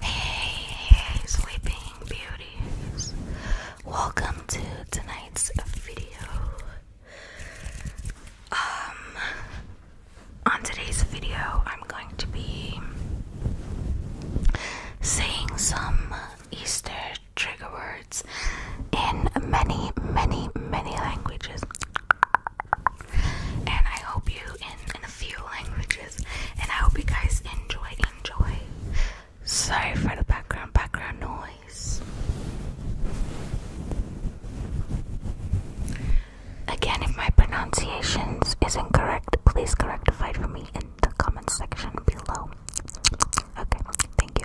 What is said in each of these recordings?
Hey, sleeping beauties. Welcome to tonight's video. Um, on today's video, I'm going to be saying some Easter trigger words in many, many, many languages. And I hope you in, in a few languages. And I hope you guys enjoy, enjoy. Sorry for the background, background noise. Again, if my pronunciations is incorrect, please correct correctify for me in the comment section below. Okay, thank you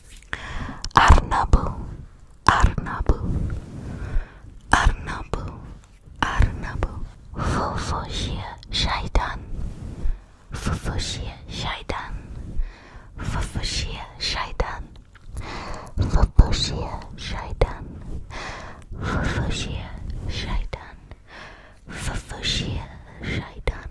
Arnabu, Arnabu, Arnabu, Arnabu, Fofoshia Shaitan, Fofoshia Shaitan, Fofoshia Shaitan, Fofoshia Shaitan, Fofoshia Shaitan, Fofoshia Shaitan.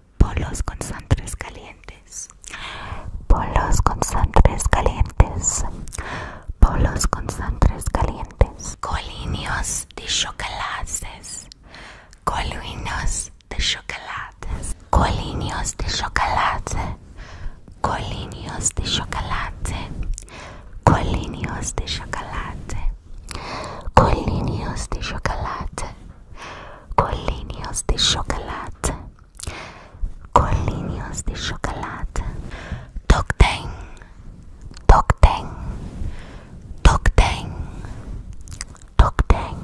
Polos con sangres calientes. Polos con sangres calientes. Polos con sangres calientes. Colinios de chocolates. Colinios de chocolates. Colinios de chocolate. Colinios de chocolate. Colinios de chocolate. Colinios de chocolate. Colíneos de chocolate. Colíneos de chocolate. Tocteng. Tocteng. Tocteng. Tocteng.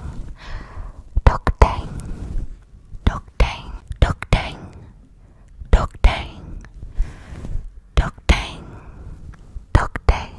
Tocteng. Tocteng. Tocteng. Tocteng. Tocteng. Tocteng.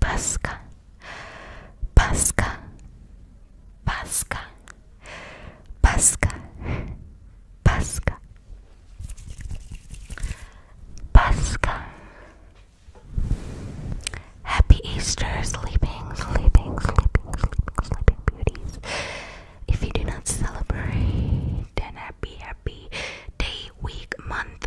Pasca, Pasca, Pasca, Pasca, Pasca, Pasca. Happy Easter, sleeping, sleeping, sleeping, sleeping, sleeping beauties. If you do not celebrate, then happy, happy day, week, month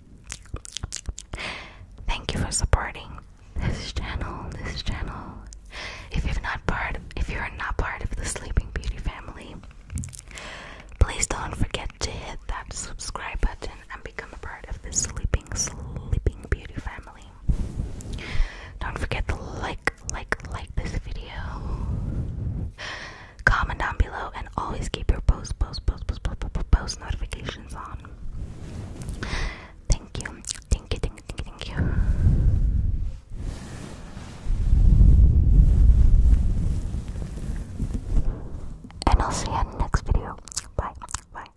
Thank you for supporting this channel, this channel. If you've not part if you're not part of the Sleeping Beauty family, please don't forget to hit that subscribe button and become a part of the Sleeping Sleeping Beauty family. Don't forget to like, like, like this video. Comment down below and always keep your post, post, post, post, post, post, notifications on. Thank you. Thank you, thank you, thank you, And I'll see you next video. Bye. Bye.